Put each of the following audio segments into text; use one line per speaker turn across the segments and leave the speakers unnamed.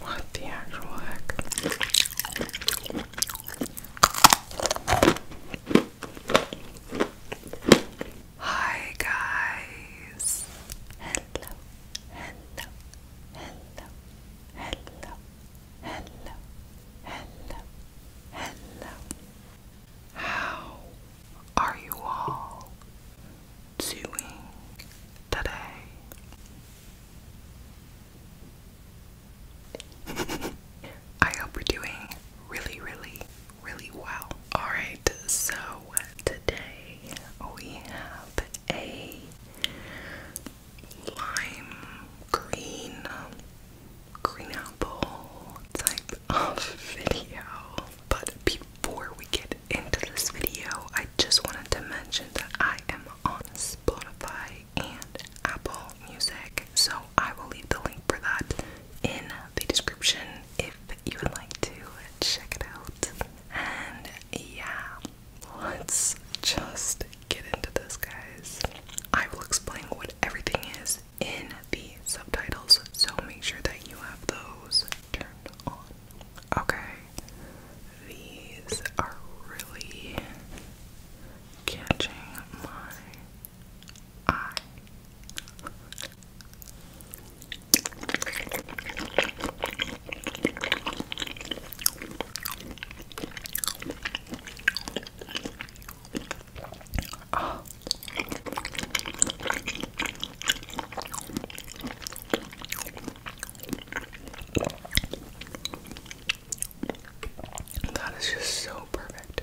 What the actual heck? Hi guys. Hello. Hello. Hello. Hello hello, hello, hello. How are you all doing today? I hope you're doing really, really, really well. Alright, so today we have a lime green, green apple type of video. But before we get into this video, I just wanted to mention that I am on Spotify and Apple Music, so I will leave the link for that in the description if you would like to check it out. And yeah, Let's just get into this, guys. I will explain what everything is in the subtitles, so make sure that you have those turned on. Okay, these are really catching my eye. That is just so perfect.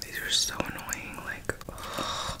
These are so annoying, like ugh.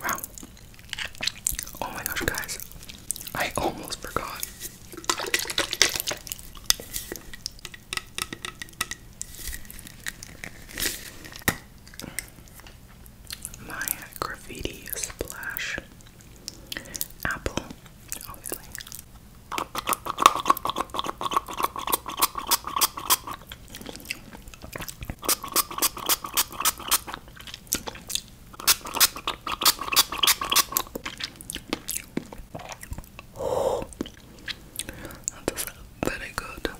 Wow. Oh my gosh, guys. I almost forgot. My graffiti splash. Apple, obviously. that is very good.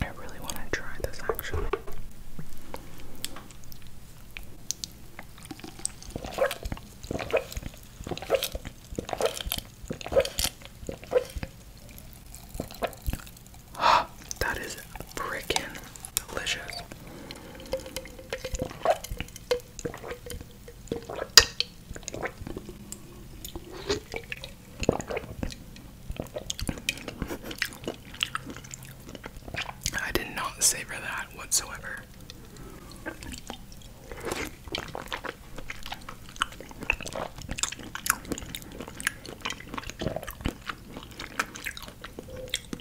I really want to try this actually. that is freaking delicious. I did not savor that whatsoever.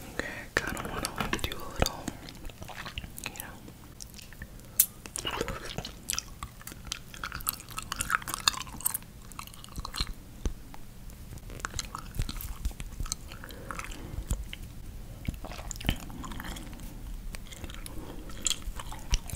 Okay, kind of want to do a little, you know.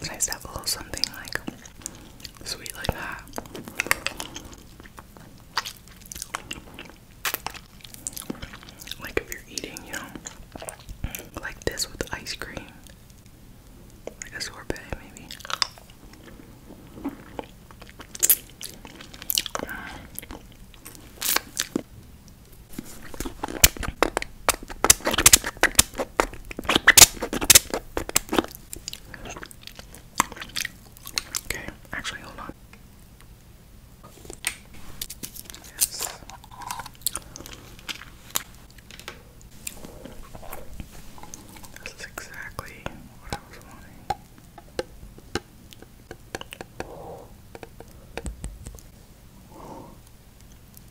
It's nice to have a little something like sweet like that. Like if you're eating, you know, like this with ice cream, like a sorbet maybe. Okay, actually, hold on. Yes. This exactly what I was wanting.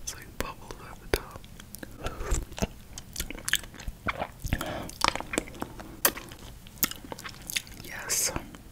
It's like bubbles at the top. Yes,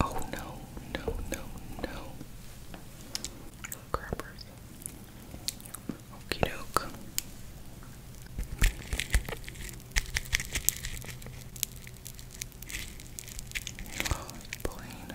Oh no, no, no, no. Crappers. Okie doke. plain.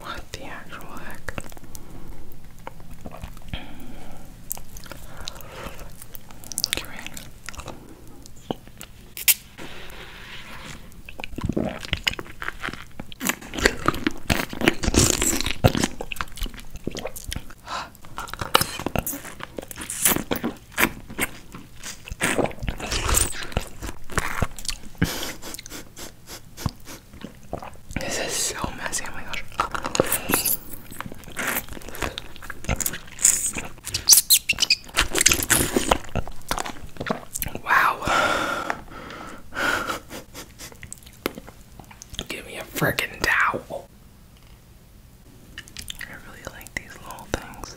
What the actual heck? Come This is so messy. Oh my gosh. Wow. Give me a freaking towel. I really like these little things.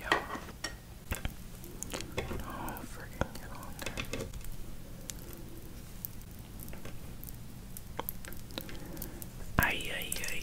Yo. Oh, freaking get on there. Ay, ay, ay.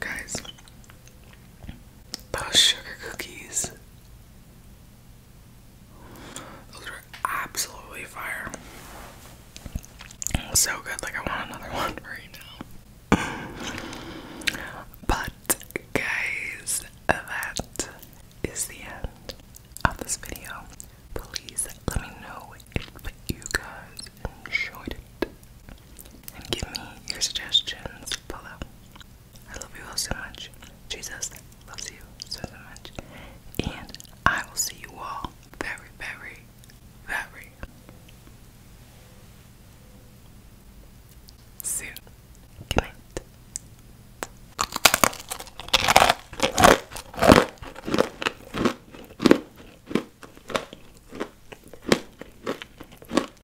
Guys, those sugar cookies those are absolutely fire. So good, like I want another one right now. But guys, that is the end of this video. Please let me know if you guys enjoyed it. And give me your suggestions below. I love you all so much. Jesus loves you so, much. And I will see you all very, very, very soon. Good